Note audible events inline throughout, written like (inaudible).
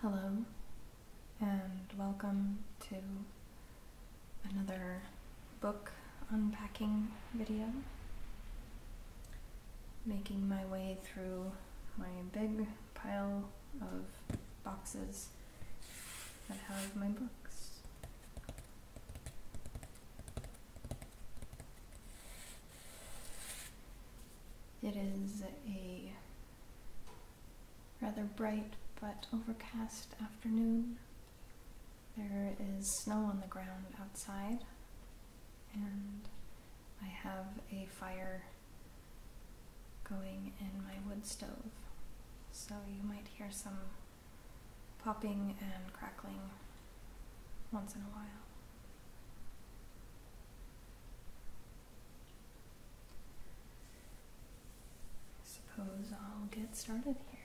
Hello, and welcome to another book unpacking video. Making my way through my big pile of boxes that have my books. It is a rather bright but overcast afternoon. There is snow on the ground outside, and I have a fire going in my wood stove, so you might hear some popping and crackling once in a while. I suppose I'll get started here.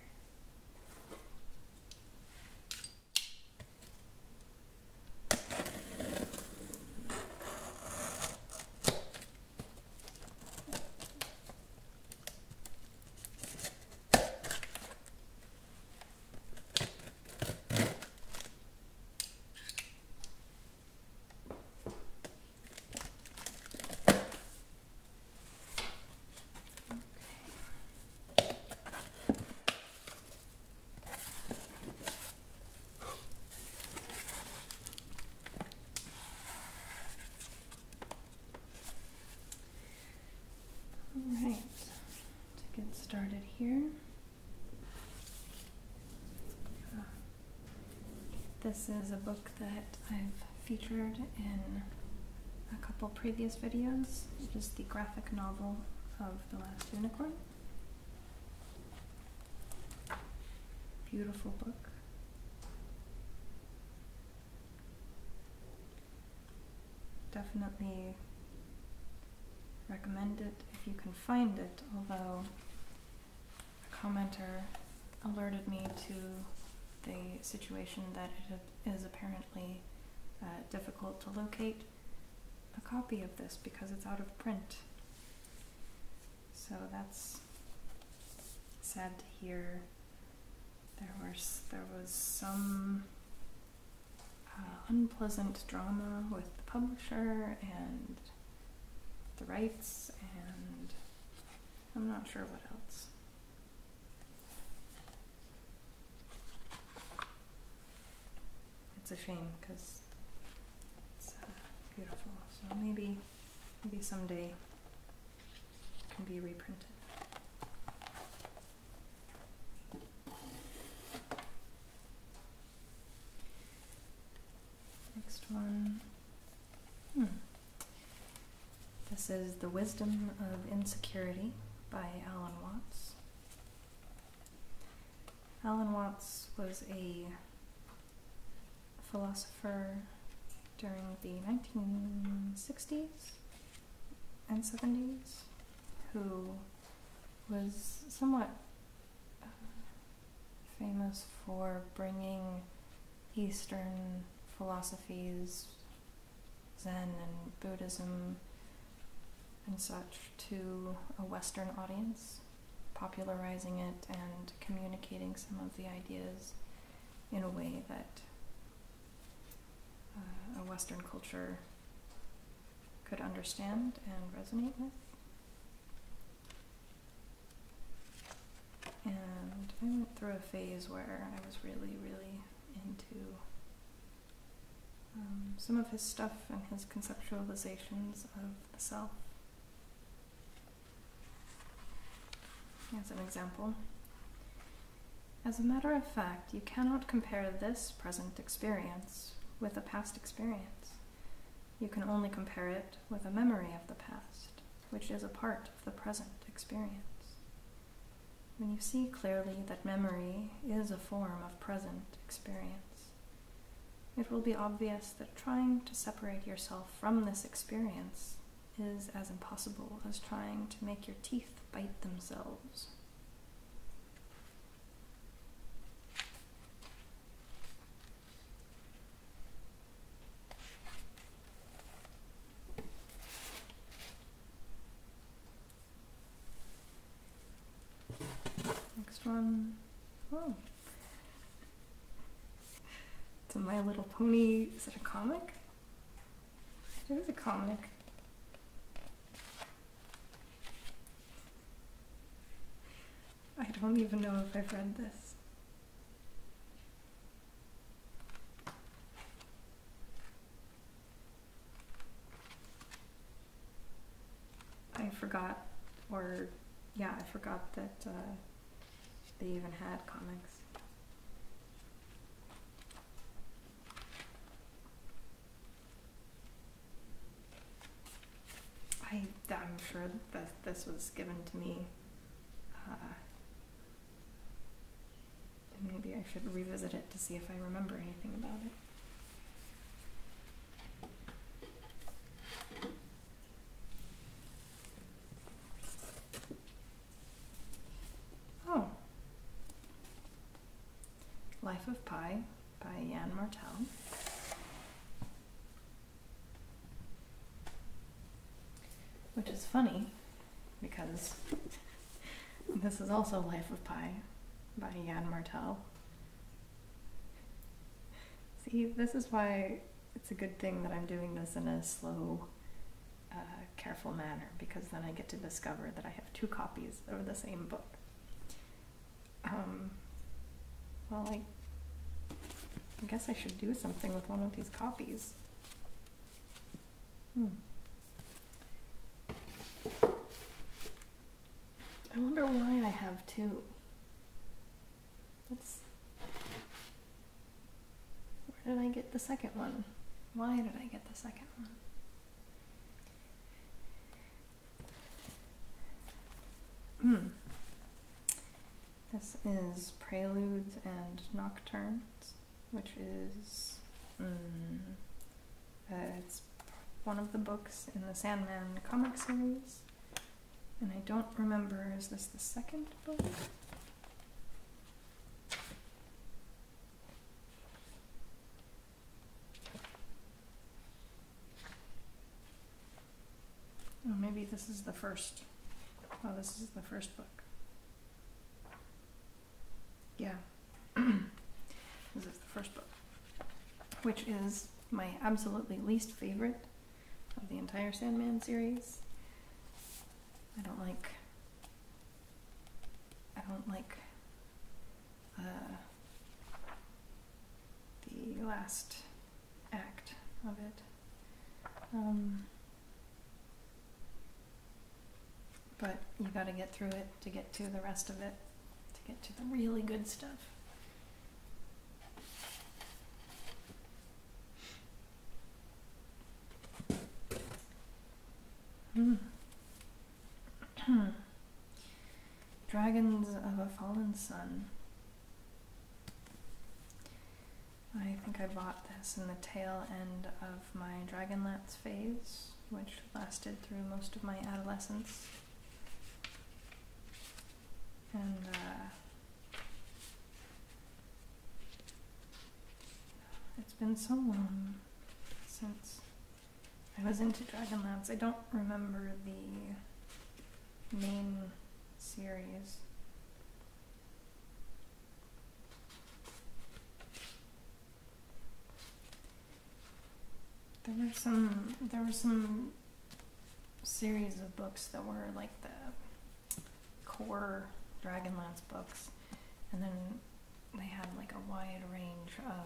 All right, to get started here. This is a book that I've featured in a couple previous videos. It is the graphic novel of The Last Unicorn. Beautiful book. Definitely Recommend it if you can find it, although a commenter alerted me to the situation that it is apparently uh, difficult to locate a copy of this because it's out of print. So that's sad to hear. There was there was some uh, unpleasant drama with the publisher and the rights, and I'm not sure what else. It's a shame because it's uh, beautiful. So maybe, maybe someday it can be reprinted. Next one. Hmm. This is The Wisdom of Insecurity by Alan Watts. Alan Watts was a philosopher during the 1960s and 70s who was somewhat uh, famous for bringing Eastern philosophies, Zen and Buddhism and such, to a Western audience, popularizing it and communicating some of the ideas in a way that uh, a Western culture could understand and resonate with. And I went through a phase where I was really, really into um, some of his stuff and his conceptualizations of the self. As an example, as a matter of fact, you cannot compare this present experience with a past experience. You can only compare it with a memory of the past, which is a part of the present experience. When you see clearly that memory is a form of present experience, it will be obvious that trying to separate yourself from this experience is as impossible as trying to make your teeth bite themselves. Next one. Oh. It's a My Little Pony. Is it a comic? It is a comic. I don't even know if I've read this. I forgot, or yeah, I forgot that uh, they even had comics. I, am sure that this was given to me. Uh, maybe I should revisit it to see if I remember anything about it. Oh. Life of Pi by Jan Martel. Which is funny because (laughs) this is also Life of Pi by Jan Martel. See, this is why it's a good thing that I'm doing this in a slow, uh, careful manner because then I get to discover that I have two copies of the same book. Um, well, I, I guess I should do something with one of these copies. Hmm. I wonder why I have two. where did I get the second one? Why did I get the second one? Hmm. This is Preludes and Nocturnes, which is hmm, uh, it's one of the books in the Sandman comic series, and I don't remember is this the second book? Oh, maybe this is the first. Oh, this is the first book. Yeah. (clears throat) this is the first book, which is my absolutely least favorite of the entire Sandman series. I don't like. I don't like the last act of it. Um, but you gotta get through it to get to the rest of it, to get to the really good stuff. Hmm. (clears throat) Dragons of a Fallen Sun. I think I bought this in the tail end of my Dragonlance phase, which lasted through most of my adolescence. And, uh, it's been so long since I was into Dragonlance. I don't remember the main series. There were some there were some series of books that were like the core Dragonlance books and then they had like a wide range of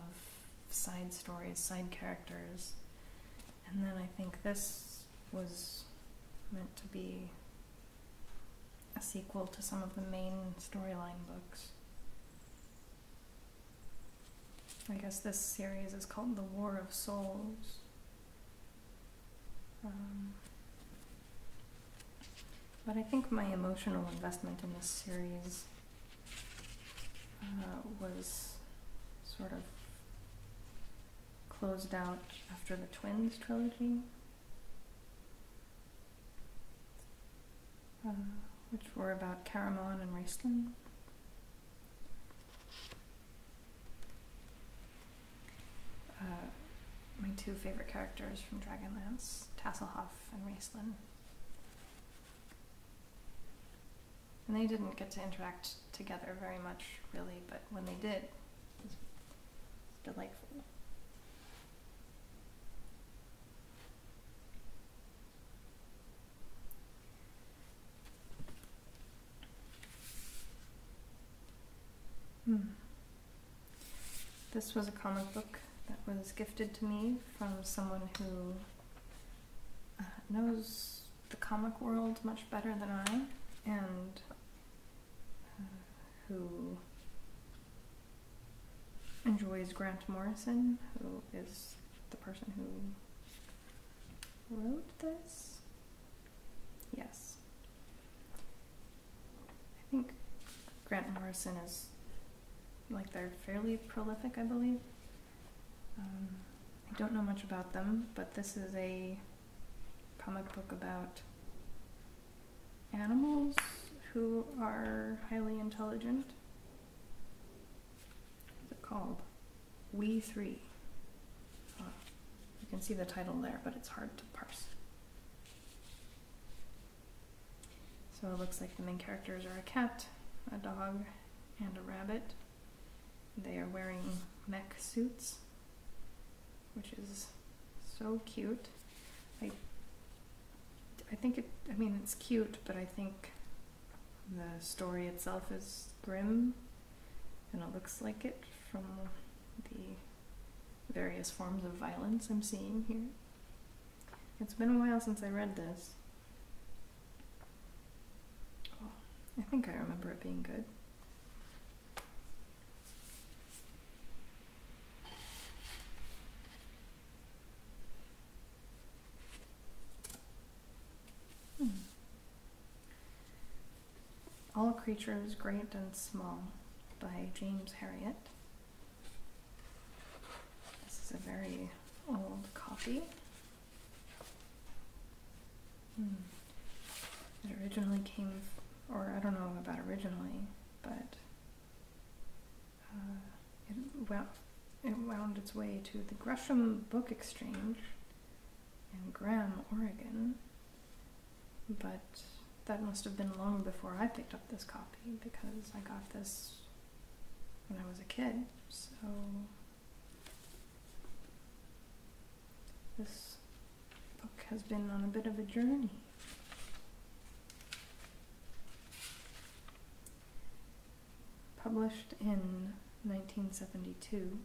side stories, side characters and then I think this was meant to be a sequel to some of the main storyline books. I guess this series is called The War of Souls. Um, but I think my emotional investment in this series uh, was sort of closed out after the Twins trilogy, uh, which were about Caramon and Raceland. Uh, my two favorite characters from Dragonlance, Tasselhoff and Raceland. And they didn't get to interact together very much, really, but when they did, it was delightful. Hmm. This was a comic book that was gifted to me from someone who uh, knows the comic world much better than I, and uh, who enjoys Grant Morrison, who is the person who wrote this. Yes. I think Grant Morrison is like they're fairly prolific, I believe. Um, I don't know much about them, but this is a comic book about animals who are highly intelligent. What's it called? We Three. you can see the title there, but it's hard to parse. So it looks like the main characters are a cat, a dog, and a rabbit. They are wearing mech suits, which is so cute. I I think it I mean it's cute, but I think the story itself is grim and it looks like it from the various forms of violence I'm seeing here. It's been a while since I read this. I think I remember it being good. Hmm. All Creatures Great and Small by James Harriet. This is a very old copy. Mm. It originally came, or I don't know about originally, but uh, it, wound, it wound its way to the Gresham Book Exchange in Graham, Oregon. But that must have been long before I picked up this copy because I got this when I was a kid. So this book has been on a bit of a journey. Published in 1972,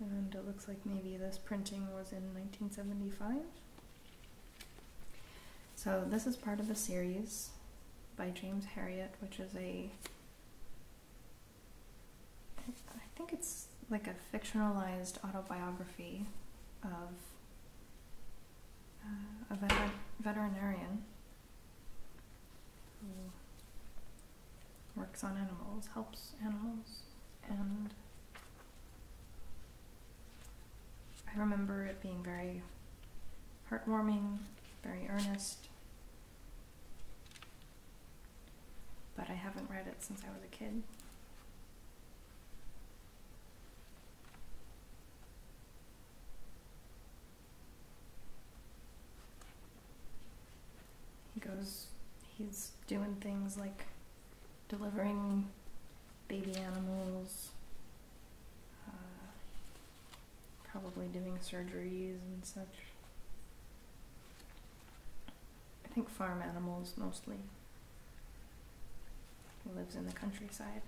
and it looks like maybe this printing was in 1975. So, this is part of a series by James Harriet, which is a I think it's like a fictionalized autobiography of uh, a veterinarian who works on animals, helps animals, and I remember it being very heartwarming, very earnest, but I haven't read it since I was a kid. He goes, he's doing things like delivering baby animals. Uh, probably doing surgeries and such. I think farm animals mostly. lives in the countryside.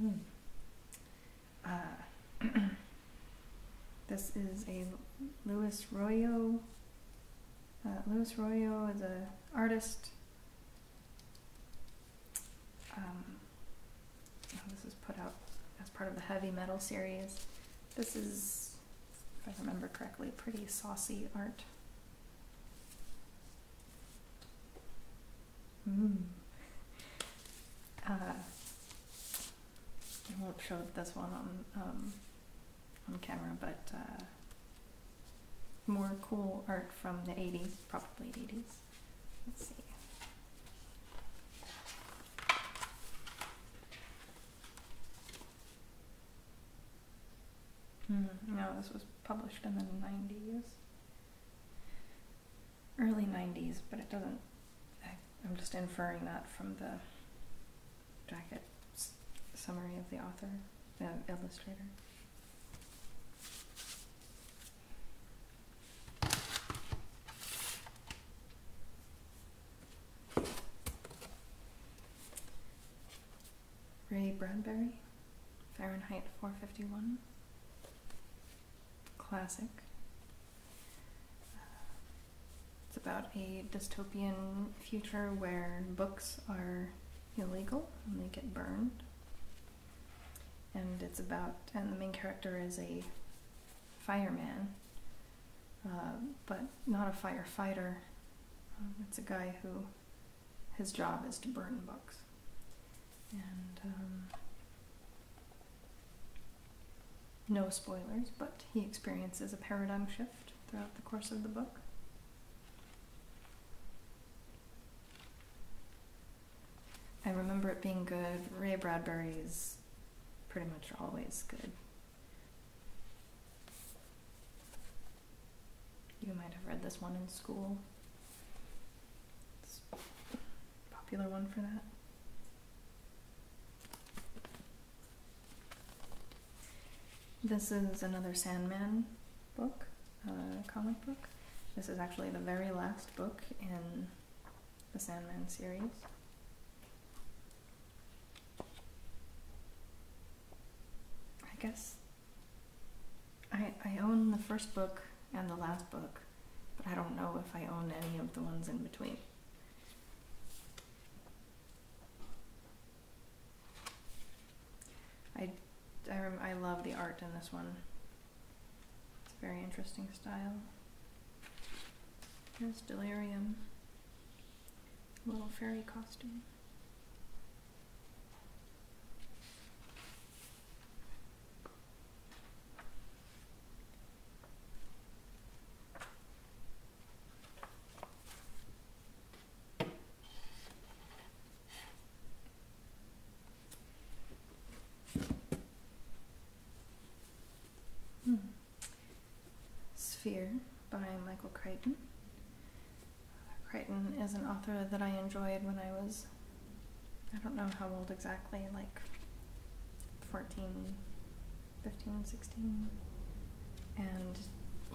Mm. Uh, (clears throat) this is a Luis Royo. Uh, Luis Royo is an artist. Um, oh, this is put out as part of the heavy metal series. This is, if I remember correctly, pretty saucy art. Mm. Uh, I won't show this one on um, on camera, but uh, more cool art from the 80s, probably 80s. Let's see. Hmm, no, this was published in the 90s. Early 90s, but it doesn't I'm just inferring that from the jacket summary of the author, the illustrator. Ray Bradbury, Fahrenheit 451, classic, it's about a dystopian future where books are illegal and they get burned. And it's about, and the main character is a fireman, uh, but not a firefighter. Um, it's a guy who, his job is to burn books. Um, no spoilers, but he experiences a paradigm shift throughout the course of the book. I remember it being good. Ray Bradbury is pretty much always good. You might have read this one in school. It's a popular one for that. This is another Sandman book, uh, comic book. This is actually the very last book in the Sandman series. I guess I, I own the first book and the last book, but I don't know if I own any of the ones in between. I, I, love the art in this one. It's a very interesting style. There's Delirium. Little fairy costume. Sphere by Michael Crichton. Crichton is an author that I enjoyed when I was, I don't know how old exactly, like 14, 15 and 16. And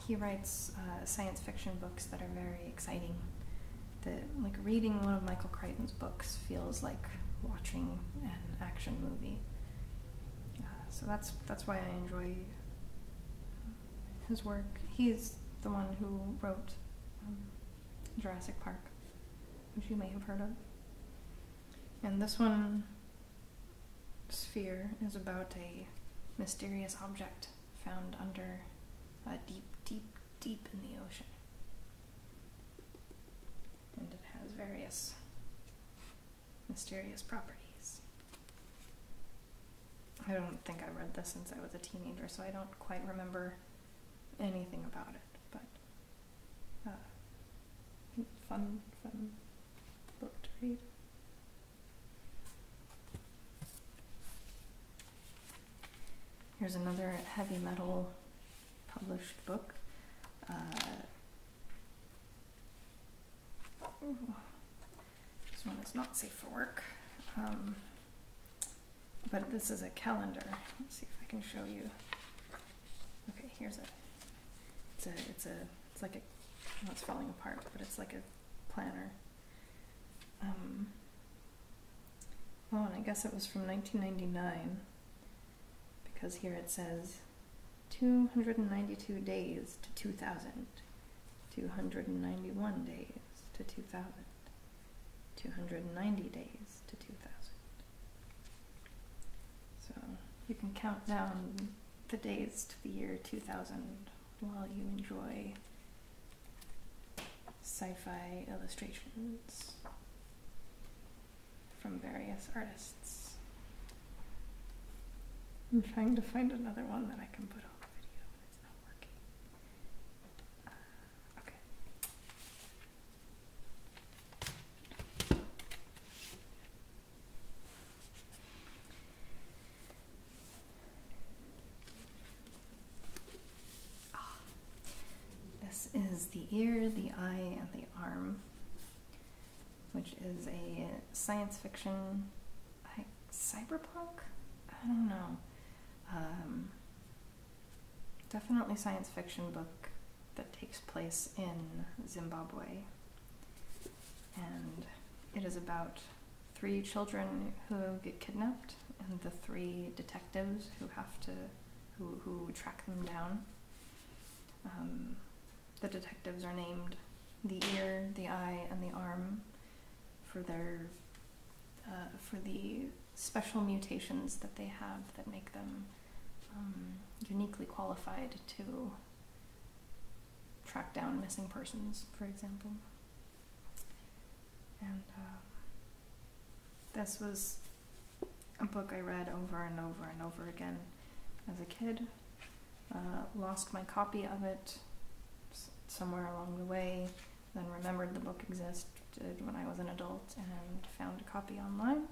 he writes uh, science fiction books that are very exciting. That, like, reading one of Michael Crichton's books feels like watching an action movie. Uh, so that's, that's why I enjoy his work. He's the one who wrote um, Jurassic Park, which you may have heard of. And this one sphere is about a mysterious object found under a deep, deep, deep in the ocean. And it has various mysterious properties. I don't think I read this since I was a teenager, so I don't quite remember anything about it, but Ah. fun, fun book to read. Here's another heavy metal published book. Uh, this one is not safe for work. Um, but this is a calendar. Let's see if I can show you Okay, here's a. It's a. It's a. It's like a. Well, it's falling apart, but it's like a planner. Um. Oh, and I guess it was from 1999 because here it says 292 days to 2000, 291 days to 2000, 290 days to 2000. So you can count down the days to the year 2000 while you enjoy sci fi illustrations from various artists. I'm trying to find another one that I can put on the video, it's not working. Uh, okay. Ah, this is the ear, the eye, and the arm, which is a science fiction, cyberpunk? I don't know. Um, definitely science fiction book that takes place in Zimbabwe. And it is about three children who get kidnapped and the three detectives who have to who, who track them down. Um, the detectives are named the ear, the eye, and the arm for their uh, for the special mutations that they have that make them um, uniquely qualified to track down missing persons, for example. And uh, this was a book I read over and over and over again as a kid. Uh, lost my copy of it somewhere along the way, then remembered the book existed when I was an adult and found a copy online.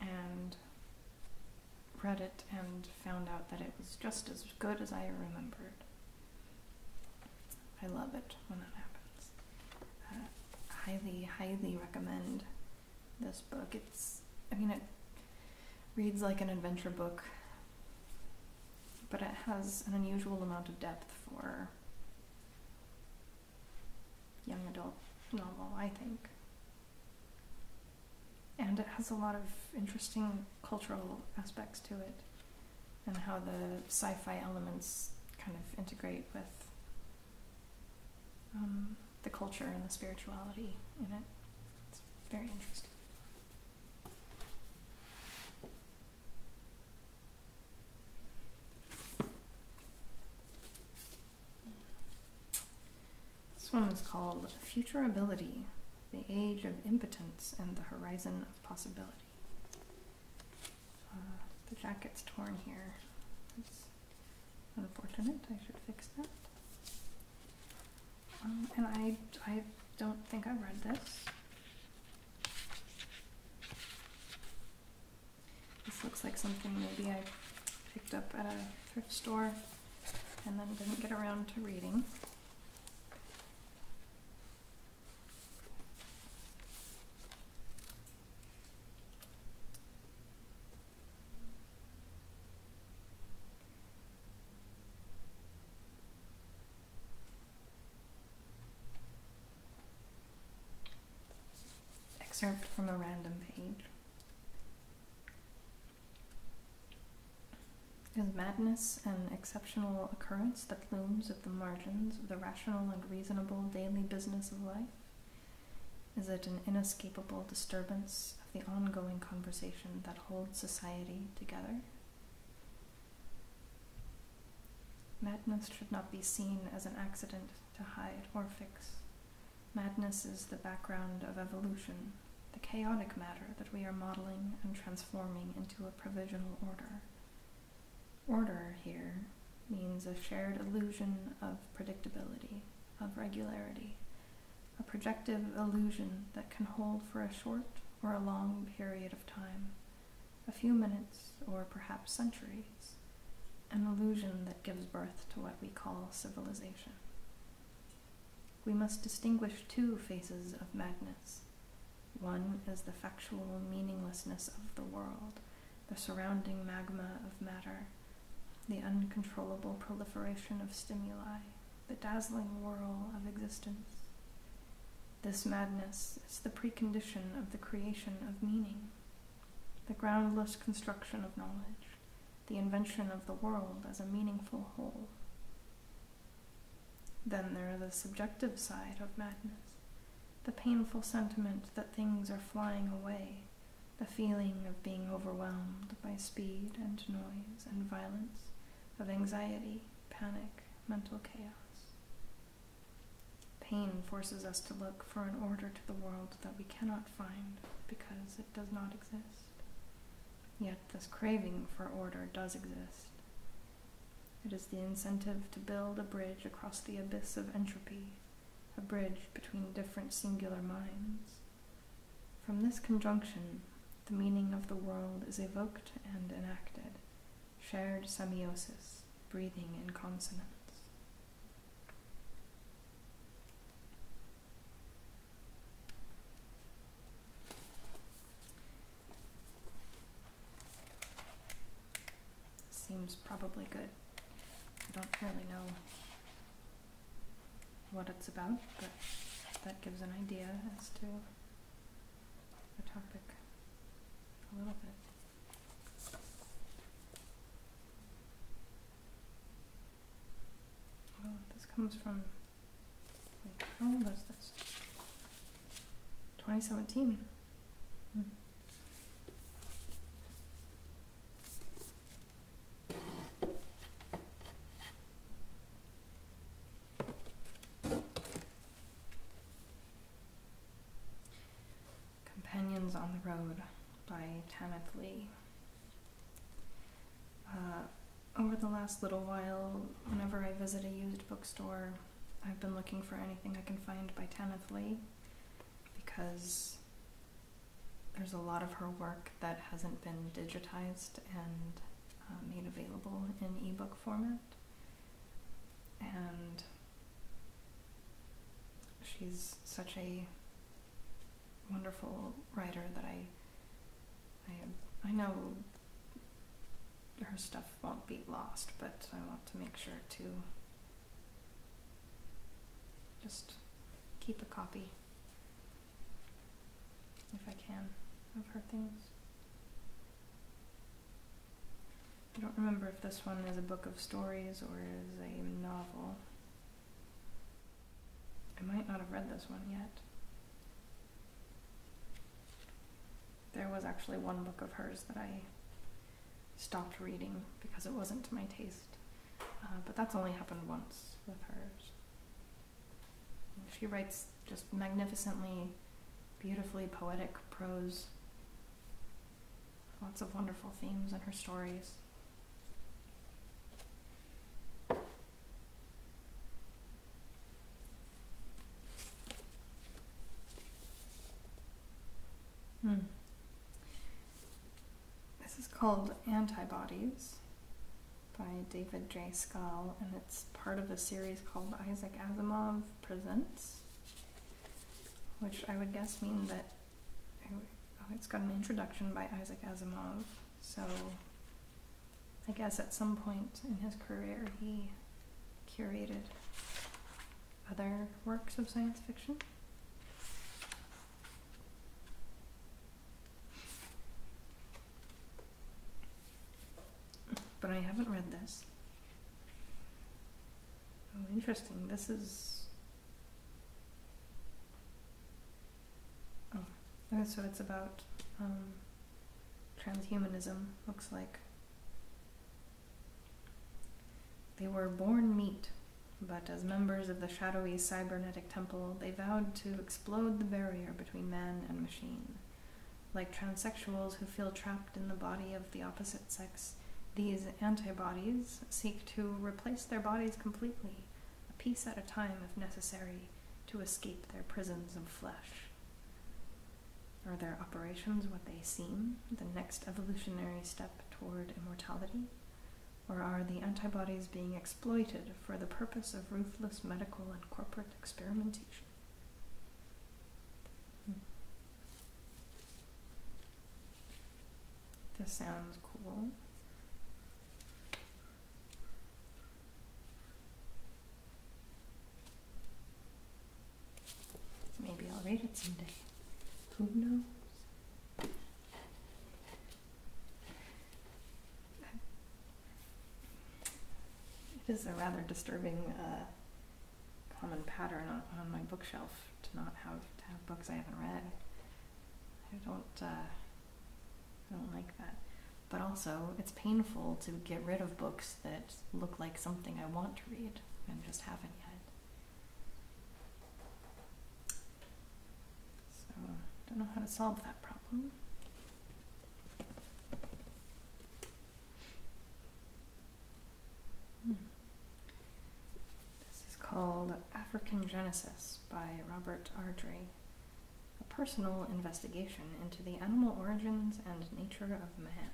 And read it and found out that it was just as good as I remembered. I love it when that happens. Uh, highly, highly recommend this book. It's, I mean, it reads like an adventure book, but it has an unusual amount of depth for young adult novel, I think. And it has a lot of interesting cultural aspects to it, and how the sci fi elements kind of integrate with um, the culture and the spirituality in it. It's very interesting. This one is called Futurability The Age of Impotence and the Horizon of Possibility. Uh, the jacket's torn here. It's unfortunate. I should fix that. Um, and I, I don't think I've read this. This looks like something maybe I picked up at a thrift store and then didn't get around to reading. Excerpt from a random page. Is madness an exceptional occurrence that looms at the margins of the rational and reasonable daily business of life? Is it an inescapable disturbance of the ongoing conversation that holds society together? Madness should not be seen as an accident to hide or fix, Madness is the background of evolution, the chaotic matter that we are modeling and transforming into a provisional order. Order here means a shared illusion of predictability, of regularity, a projective illusion that can hold for a short or a long period of time, a few minutes or perhaps centuries, an illusion that gives birth to what we call civilization. We must distinguish two phases of madness. One is the factual meaninglessness of the world, the surrounding magma of matter, the uncontrollable proliferation of stimuli, the dazzling whirl of existence. This madness is the precondition of the creation of meaning, the groundless construction of knowledge the invention of the world as a meaningful whole. Then there is the subjective side of madness, the painful sentiment that things are flying away, the feeling of being overwhelmed by speed and noise and violence, of anxiety, panic, mental chaos. Pain forces us to look for an order to the world that we cannot find because it does not exist. Yet this craving for order does exist. It is the incentive to build a bridge across the abyss of entropy, a bridge between different singular minds. From this conjunction, the meaning of the world is evoked and enacted, shared semiosis, breathing in consonance. Seems probably good. I don't really know what it's about, but that gives an idea as to the topic a little bit. Well, oh, this comes from. how old this? 2017. Hmm. Companions on the Road by Tamith Lee. Uh, over the last little while, whenever I visit a used bookstore, I've been looking for anything I can find by Tanith Lee because there's a lot of her work that hasn't been digitized and uh, made available in ebook format. And she's such a wonderful writer that I, I, I know her stuff won't be lost, but I want to make sure to just keep a copy, if I can, of her things. I don't remember if this one is a book of stories or is a novel. I might not have read this one yet. There was actually one book of hers that I stopped reading because it wasn't to my taste, uh, but that's only happened once with hers. She writes just magnificently, beautifully poetic prose, lots of wonderful themes in her stories. Hmm. This is called Antibodies by David J. Scull, and it's part of a series called Isaac Asimov Presents, which I would guess means that oh, it's got an introduction by Isaac Asimov, so I guess at some point in his career he curated other works of science fiction. But I haven't read this. Oh, interesting. This is Oh, so it's about um, transhumanism, looks like. They were born meat, but as members of the shadowy cybernetic temple, they vowed to explode the barrier between man and machine. Like transsexuals who feel trapped in the body of the opposite sex, these antibodies seek to replace their bodies completely a piece at a time if necessary, to escape their prisons of flesh. Are their operations what they seem, the next evolutionary step toward immortality? Or are the antibodies being exploited for the purpose of ruthless medical and corporate experimentation? Hmm. This sounds cool. Maybe I'll read it someday. Who knows? It is a rather disturbing uh, common pattern on, my bookshelf to not have to have books I haven't read. I don't. Uh, I don't like that. But also, it's painful to get rid of books that look like something I want to read and just haven't yet. So, don't know how to solve that problem. Hmm. This is called African Genesis by Robert Ardrey a personal investigation into the animal origins and nature of man.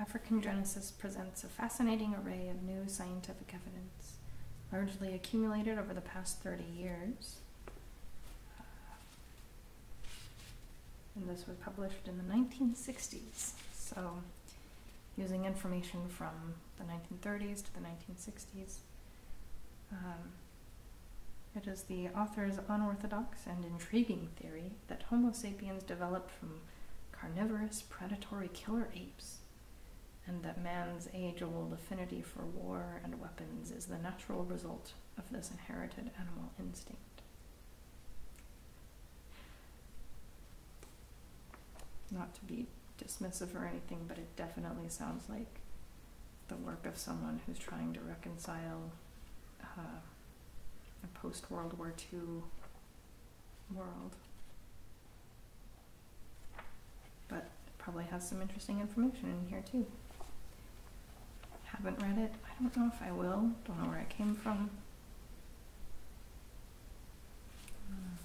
African Genesis presents a fascinating array of new scientific evidence, largely accumulated over the past 30 years. Uh, and this was published in the 1960s. So, using information from the 1930s to the 1960s, um, it is the author's unorthodox and intriguing theory that Homo sapiens developed from carnivorous, predatory killer apes, and that man's age old affinity for war and weapons is the natural result of this inherited animal instinct. Not to be dismissive or anything, but it definitely sounds like the work of someone who's trying to reconcile uh, a post World War II world. But probably has some interesting information in here, too haven't read it. I don't know if I will. Don't know where I came from. Hmm.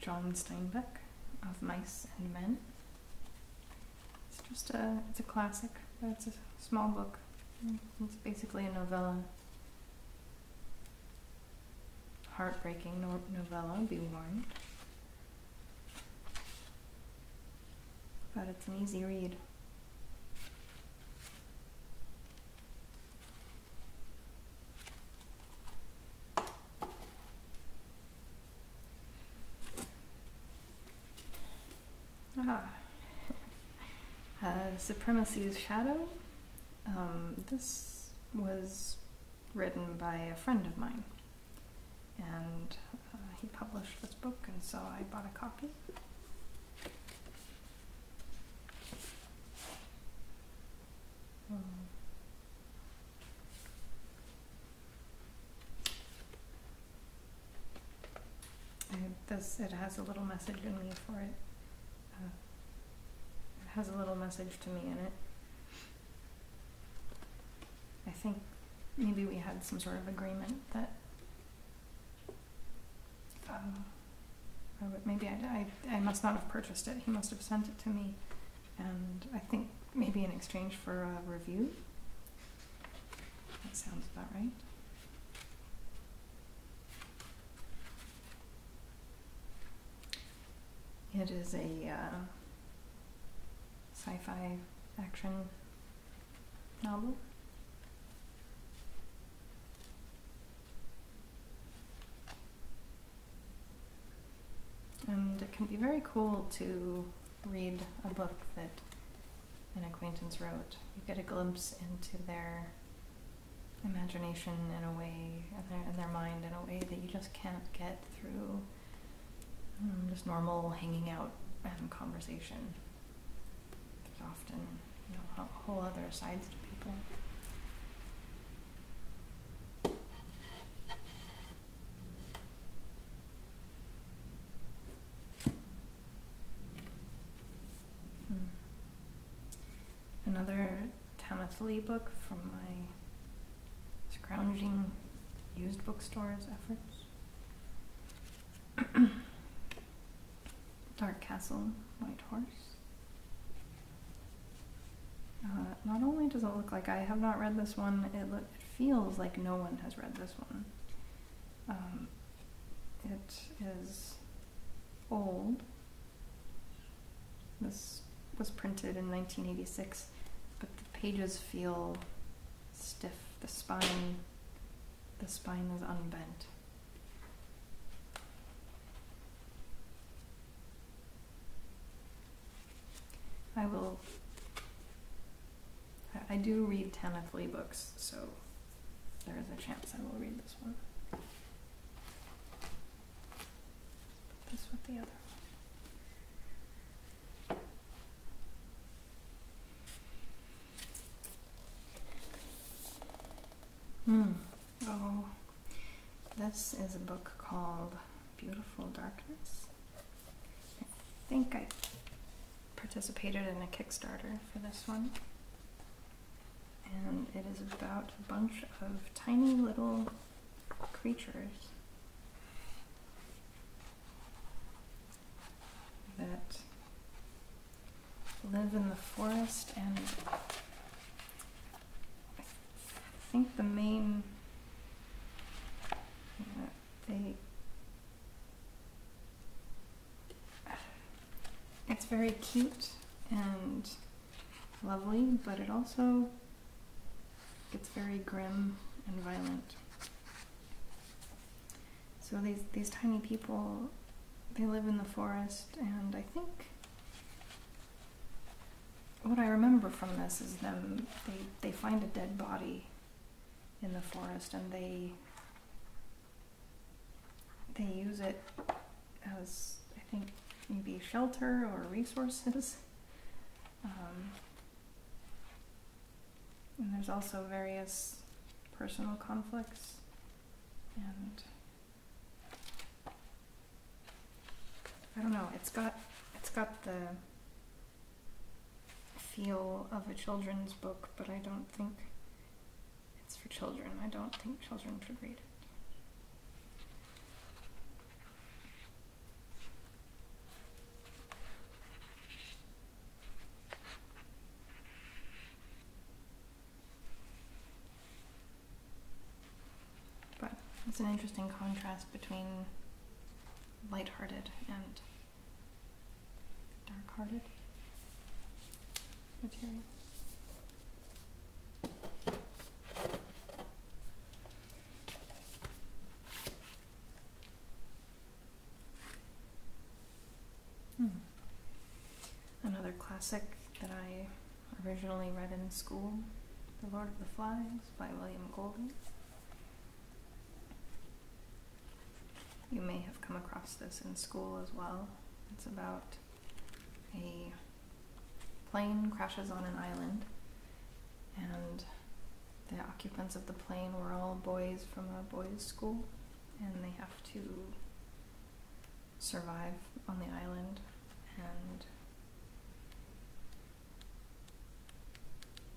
John Steinbeck of Mice and Men. It's just a it's a classic, but it's a small book. It's basically a novella Heartbreaking novella, be warned. But it's an easy read. Ah. (laughs) Uh, Supremacy's Shadow um, this was written by a friend of mine, and uh, he published this book, and so I bought a copy. Um, this it has a little message in me for it. It uh, has a little message to me in it. I think maybe we had some sort of agreement that um, maybe I must not have purchased it. He must have sent it to me, and I think maybe in exchange for a review. That sounds about right. It is a uh, sci fi action novel. And it can be very cool to read a book that an acquaintance wrote. You get a glimpse into their imagination in a way, in their, mind in a way that you just can't get through um, just normal hanging out and conversation. There's often you know, whole other sides to people. Hmm another Thomas Lee book from my scrounging used bookstores efforts. Dark Castle, White Horse. Uh, not only does it look like I have not read this one, it, feels like no one has read this one. Um, it is old, this was printed in 1986, but the pages feel stiff. The spine, the spine is unbent. I will. I do read Tanith Lee books, so there is a chance I will read this one. Hmm. Oh. this is a book called Beautiful Darkness. I think I participated in a Kickstarter for this one and it is about a bunch of tiny little creatures that live in the forest and I think the main yeah, they it's very cute and lovely, but it also gets very grim and violent. So these these tiny people, they live in the forest, and I think what I remember from this is them they, they find a dead body in the forest and they they use it as, I think, maybe shelter or resources. (laughs) Um, and there's also various personal conflicts and I don't know, it's got it's got the feel of a children's book, but I don't think it's for children. I don't think children should read it. But it's an interesting contrast between light-hearted and dark-hearted material. Hmm. Another classic that I originally read in school The Lord of the Flies by William Golding. You may have come across this in school as well. It's about a plane crashes on an island, and the occupants of the plane were all boys from a boys' school, and they have to survive on the island and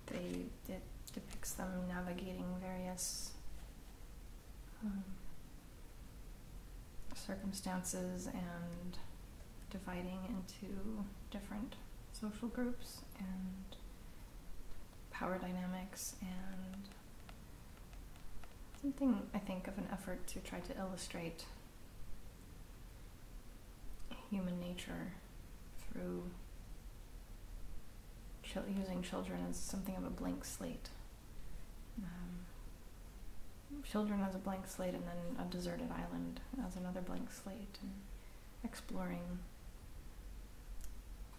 they it depicts them navigating various um, circumstances and dividing into different social groups and power dynamics and something I think of an effort to try to illustrate human nature through using children as something of a blank slate. Um, children as a blank slate, and then a deserted island as another blank slate, and exploring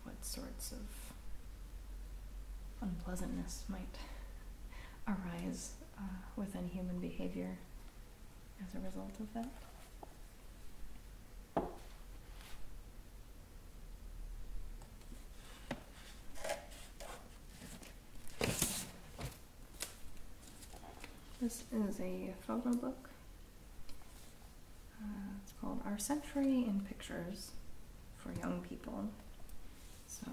what sorts of unpleasantness might arise uh, within human behavior as a result of that. This is a photo book. Uh, it's called Our Century in Pictures for Young People. So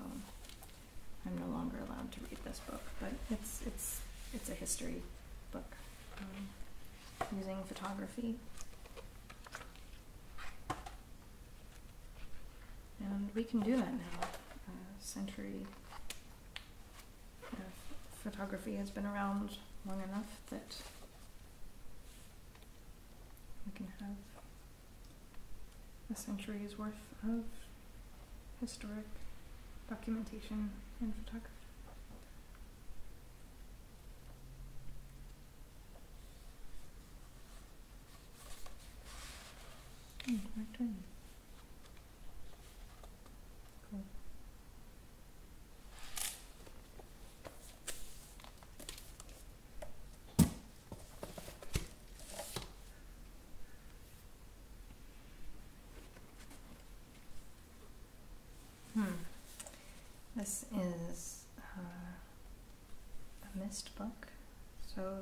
I'm no longer allowed to read this book, but it's it's it's a history book um, using photography. And we can do that now. century photography has been around long enough that we can have a century's worth of historic documentation and photography. Mm, my Cool. Hmm. This is uh, a missed book. So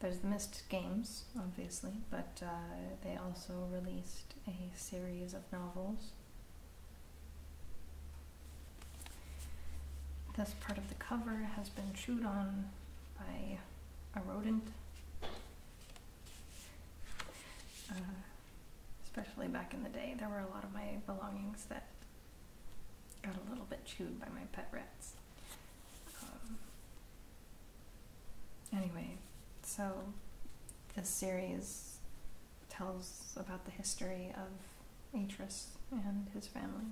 there's the missed games, obviously, but uh, they also released a series of novels. This part of the cover has been chewed on by a rodent, uh, especially back in the day. There were a lot of my belongings that Got a little bit chewed by my pet rats. Um, anyway, so this series tells about the history of Atris and his family.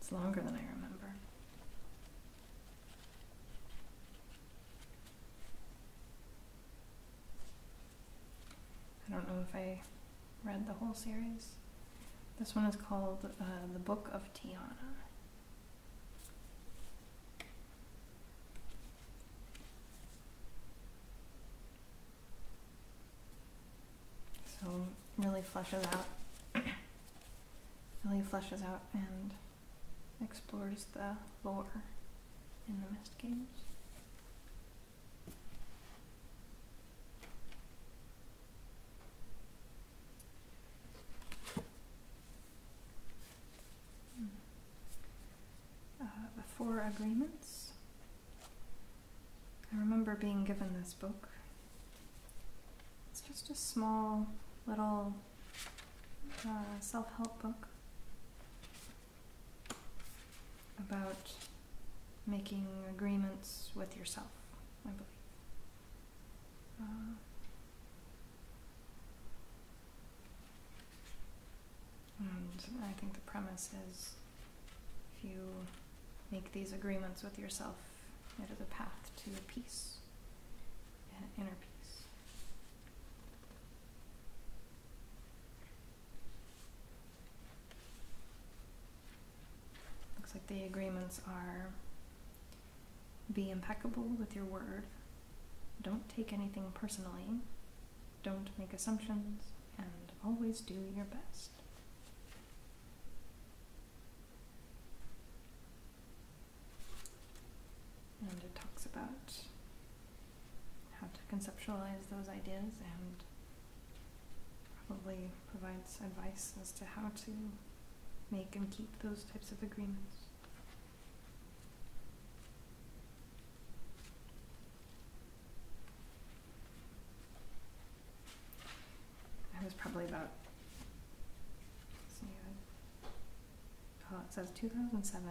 It's longer than I remember. I don't know if I read the whole series. This one is called uh, The Book of Tiana. So really flushes out, really flushes out and explores the lore in the Mist games. Uh, the Four Agreements. I remember being given this book. It's just a small little uh, self help book about making agreements with yourself, I believe. Uh, and I think the premise is if you make these agreements with yourself, it is a path to peace, inner peace. Looks like the agreements are be impeccable with your word, don't take anything personally, don't make assumptions, and always do your best. And it talks about how to conceptualize those ideas and probably provides advice as to how to make and keep those types of agreements. I was probably about, oh, it says 2007.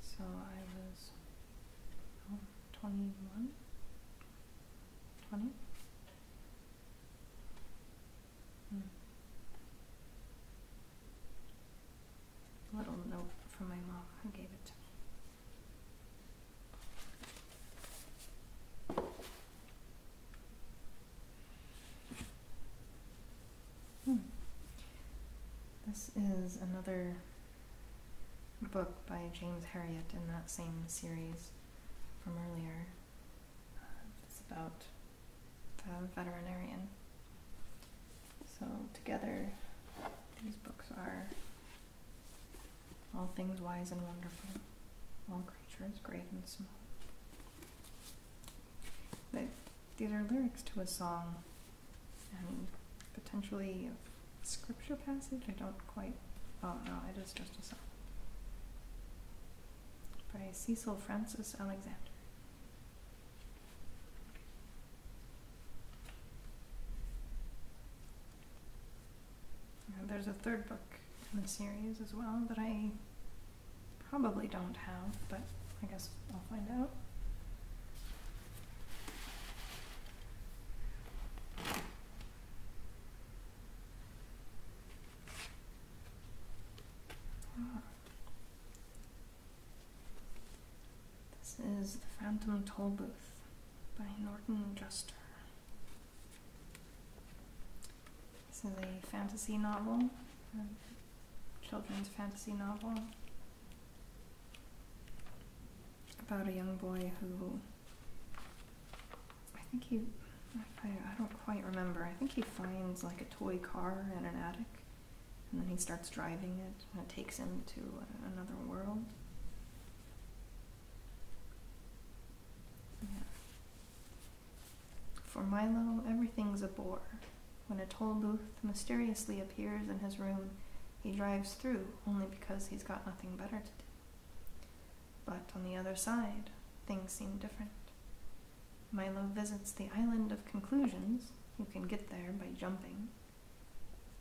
So I was 21, 20? Hmm. Little note from my mom who gave it to me. Hmm. This is another book by James Herriot in that same series from earlier. Uh, it's about a veterinarian. So, together, these books are All Things Wise and Wonderful, All Creatures Great and Small. They, these are lyrics to a song, and potentially scripture passage? I don't quite. Oh no, it is just a song by Cecil Francis Alexander. there's a third book in the series as well that I probably don't have, but I guess I'll find out. This is The Phantom Toll Booth by Norton Juster. This is a fantasy novel, a children's fantasy novel about a young boy who I think he I don't quite remember. I think he finds like a toy car in an attic, and then he starts driving it, and it takes him to another world. Yeah. For Milo, everything's a bore. When a toll booth mysteriously appears in his room, he drives through only because he's got nothing better to do. But on the other side, things seem different. Milo visits the island of conclusions, you can get there by jumping,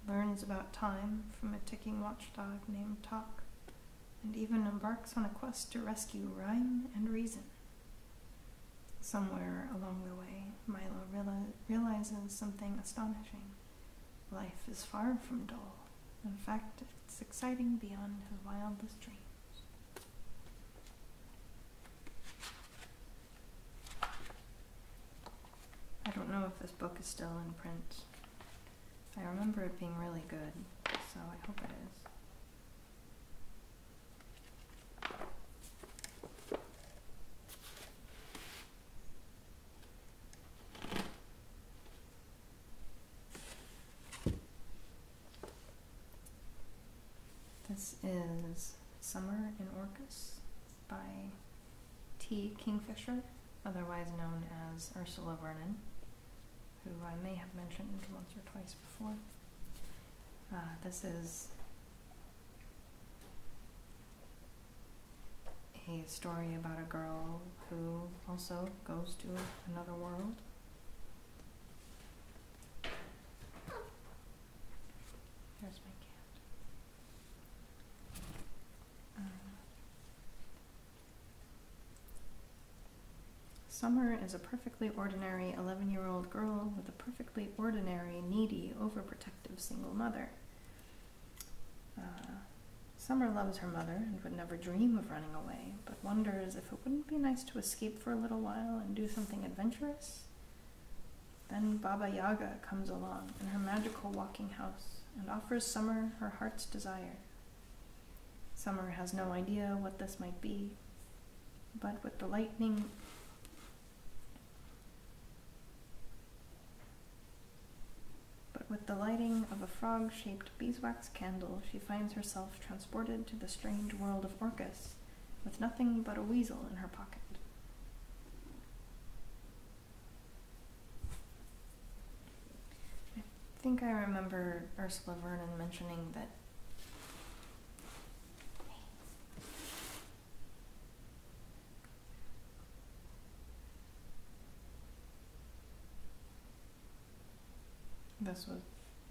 learns about time from a ticking watchdog named Tok, and even embarks on a quest to rescue rhyme and reason. Somewhere along the way, Milo realizes something astonishing. Life is far from dull. In fact, it's exciting beyond his wildest dreams. I don't know if this book is still in print. I remember it being really good, so I hope it is. This is Summer in Orcas" by T. Kingfisher, otherwise known as Ursula Vernon, who I may have mentioned once or twice before. Uh, this is a story about a girl who also goes to another world. There's my cat. Uh, Summer is a perfectly ordinary 11 year old girl with a perfectly ordinary, needy, overprotective single mother. Uh, Summer loves her mother and would never dream of running away, but wonders if it wouldn't be nice to escape for a little while and do something adventurous. Then Baba Yaga comes along in her magical walking house and offers Summer her heart's desire. Summer has no idea what this might be, but with the lightning but with the lighting of a frog shaped beeswax candle, she finds herself transported to the strange world of Orcus with nothing but a weasel in her pocket. I think I remember Ursula Vernon mentioning that this was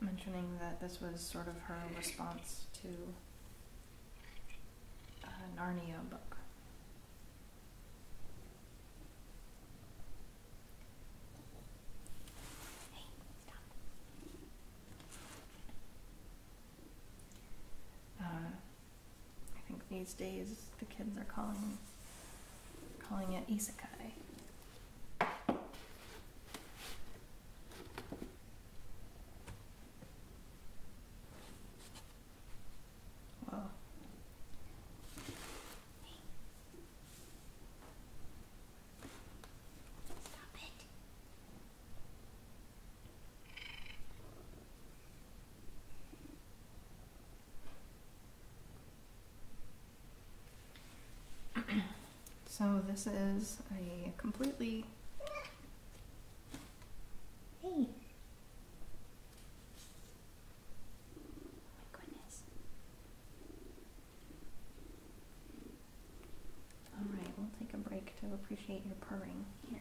mentioning that this was sort of her response to a uh, Narnia book. Uh, I think these days the kids are calling calling it isekai. Whoa. Stop it. (clears throat) so this is a completely hey my goodness all right we'll take a break to appreciate your purring here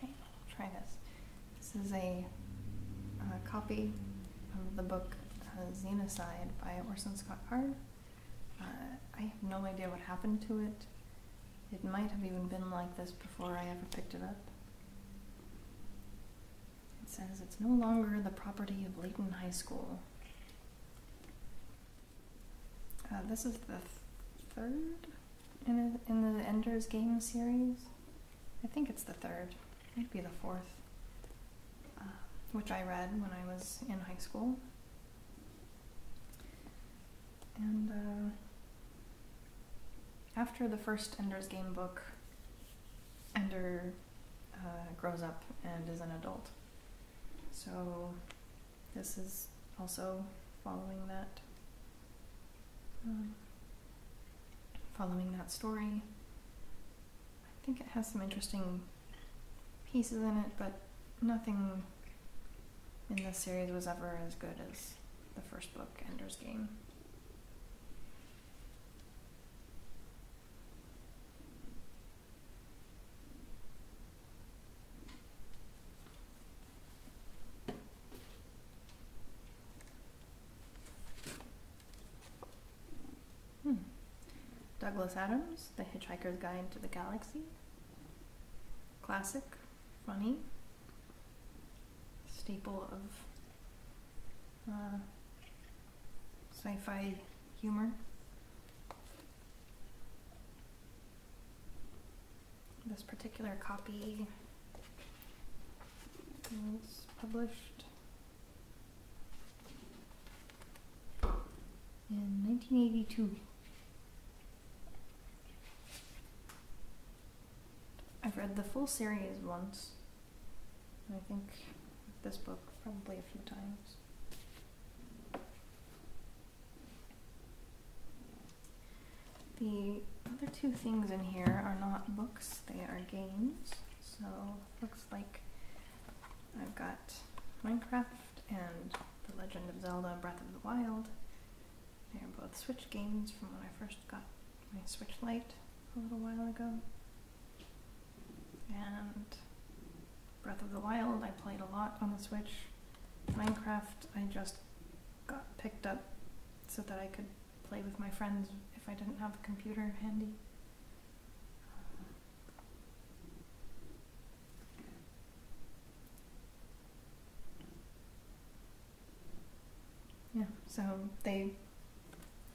Great, I'll try this. This is a copy of the book uh, Xenocide by Orson Scott Card. Uh, I have no idea what happened to it. It might have even been like this before I ever picked it up. It says it's no longer the property of Layton High School. Uh, this is the third in the, in the Ender's Game series. I think it's the third, it might be the fourth, uh, which I read when I was in high school. And uh, after the first Ender's Game book, Ender grows up and is an adult. So this is also following that um, following that story. I think it has some interesting pieces in it, but nothing in this series was ever as good as the first book, Ender's Game. Hmm. Douglas Adams, The Hitchhiker's Guide to the Galaxy. Classic, funny, staple of uh, sci fi humor. This particular copy was published in 1982. I've read the full series once, and I think this book probably a few times. The other two things in here are not books, they are games. So looks like I've got Minecraft and The Legend of Zelda Breath of the Wild. They're both Switch games from when I first got my Switch Lite a little while ago. And Breath of the Wild, I played a lot on the Switch. Minecraft, I just got picked up so that I could play with my friends if I didn't have a computer handy. Yeah, so they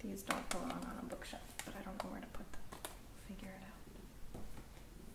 these don't belong on a bookshelf, but I don't know where to put them. I'll figure it out.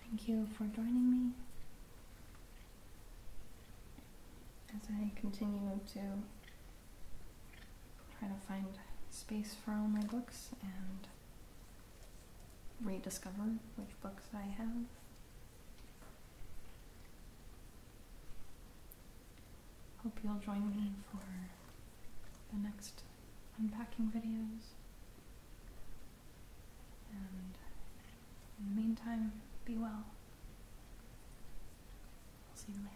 Thank you for joining me as I continue to try to find space for all my books and rediscover which books I have. Hope you'll join me for the next unpacking videos. And in the meantime, be well. see you later.